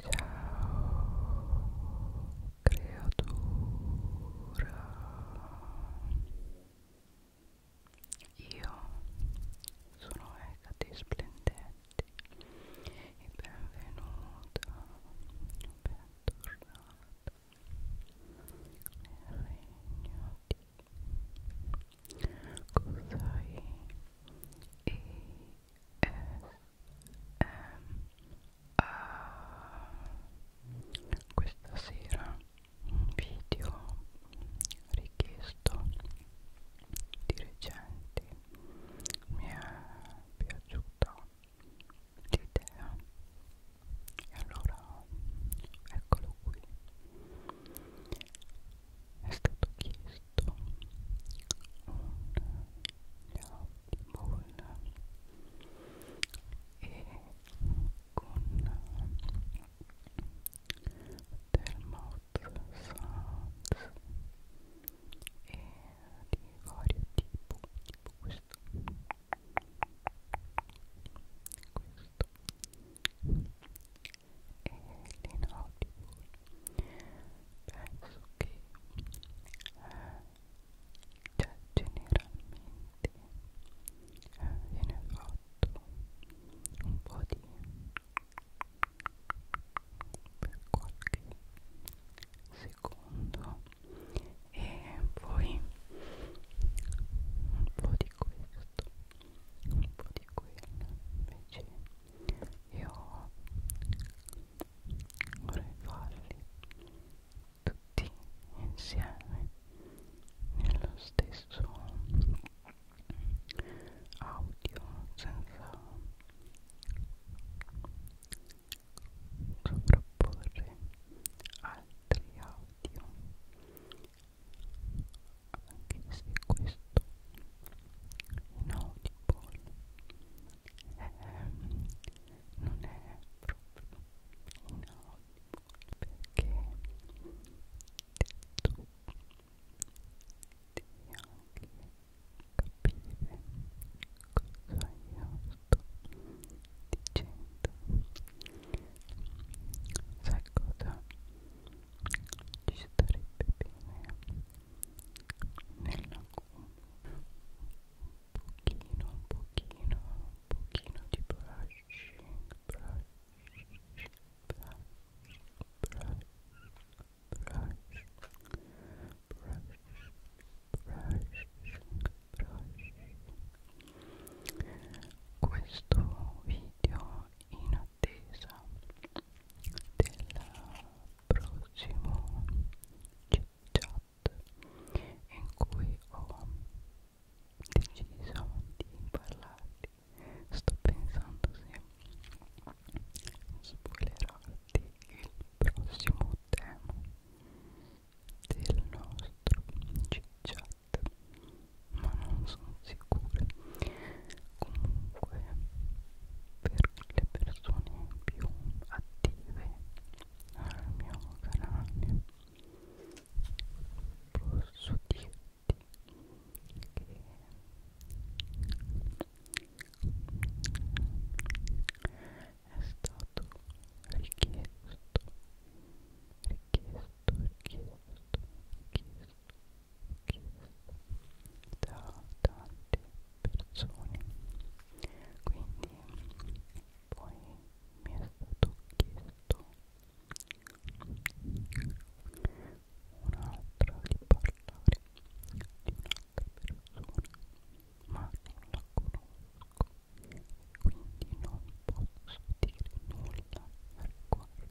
Ciao creatura Io sono Ecate Splendente e benvenuta, bentornata nel regno di Cosai e è ehm, uh, ehm, questa sera un video richiesto di recenti mi è piaciuta l'idea e allora eccolo qui è stato chiesto un bowl e con del mouth sounds e di vario tipo tipo questo questo e l'inaudible penso che eh, cioè, generalmente eh, viene fatto un po' di per qualche secondo e poi un po' di questo un po' di quello invece io vorrei farli tutti insieme nello stesso audio senza sovrapporre altri audio anche se questo inaudible ehm, non è proprio inaudible perché tu devi anche capire cosa io sto dicendo sai cosa? ci starebbe bene nella gomma un pochino, un pochino, un pochino di brushing, brush, brush, brush, brush, brush, brush. Questo video in attesa prossimo chat in cui ho deciso di parlarti sto pensando se spoilerarti il prossimo tema del nostro chat ma non sono sicura comunque per le persone più attive al mio canale posso dirti che è stato richiesto richiesto richiesto richiesto da tante persone quindi poi mi è stato chiesto un'altra di parlare di un'altra persona ma non la conosco quindi non posso dire nulla al riguardo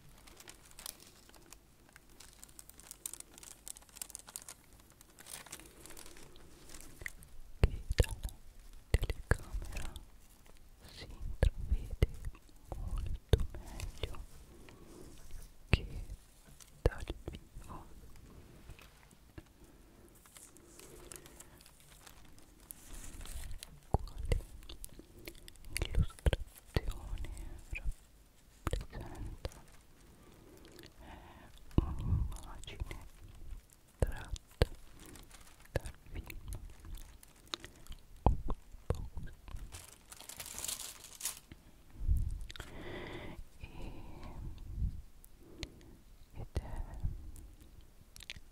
che dalla telecamera si intravede molto meglio che dal vivo quale illustrazione rappresenta è un'immagine tratta dal film e ed è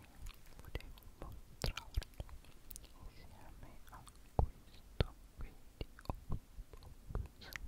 volevo mostrarlo insieme a questo quindi Xbox Xbox Xbox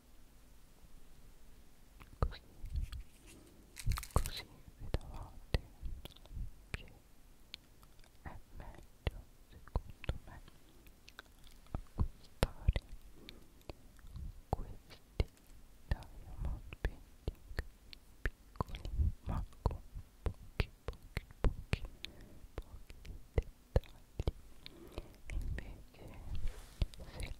così così davanti che è meglio secondo me acquistare questi diamond painting piccoli ma con pochi pochi pochi pochi dettagli invece se li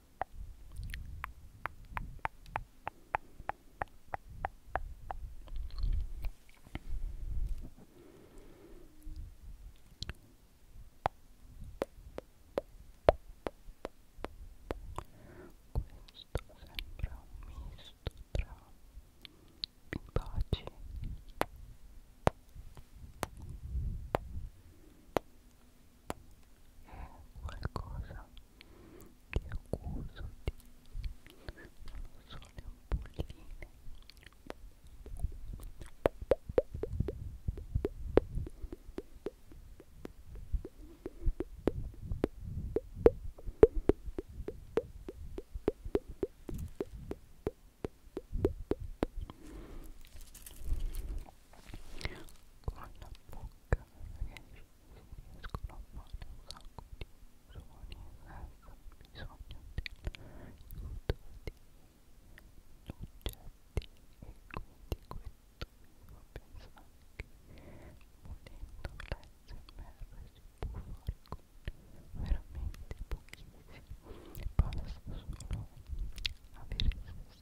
sembra un misto tra i baci e è qualcosa che accuso di non so le ampolline con la bocca camera che esce si riescono a fare un sacco di suoni senza bisogno dell'aiuto di oggetti e quindi questo mi fa pensare che volendo l'ASMR si può fare con veramente pochissimo basta solo avere se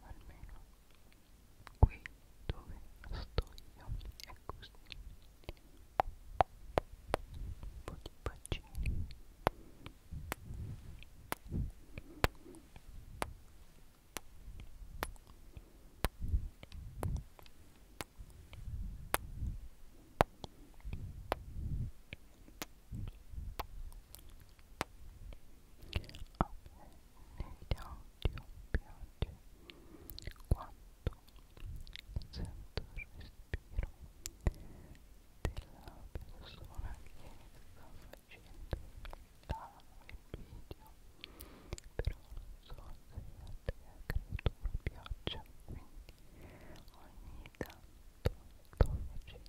almeno qui dove sto io è così un po' di bacini e a me negli audio piace quanto sento il respiro della persona che sta facendo la, il video però non so se a te creatura piaccia quindi ogni tanto sto facendo delle piccole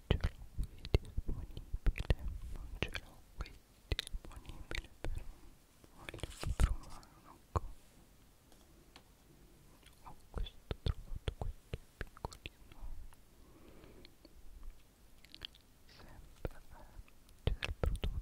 ce l'ho qui disponibile non ce l'ho qui disponibile però voglio trovare un ho questo, ho trovato questo piccolino sempre eh, c'è del prodotto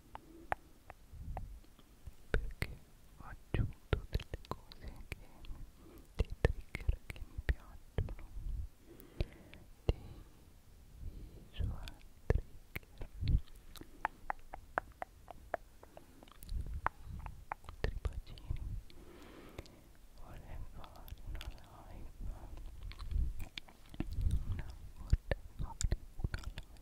perché ho aggiunto delle cose che dei trigger che mi piacciono dei visual trigger tripacini vorrei fare una live una vorrei fare una live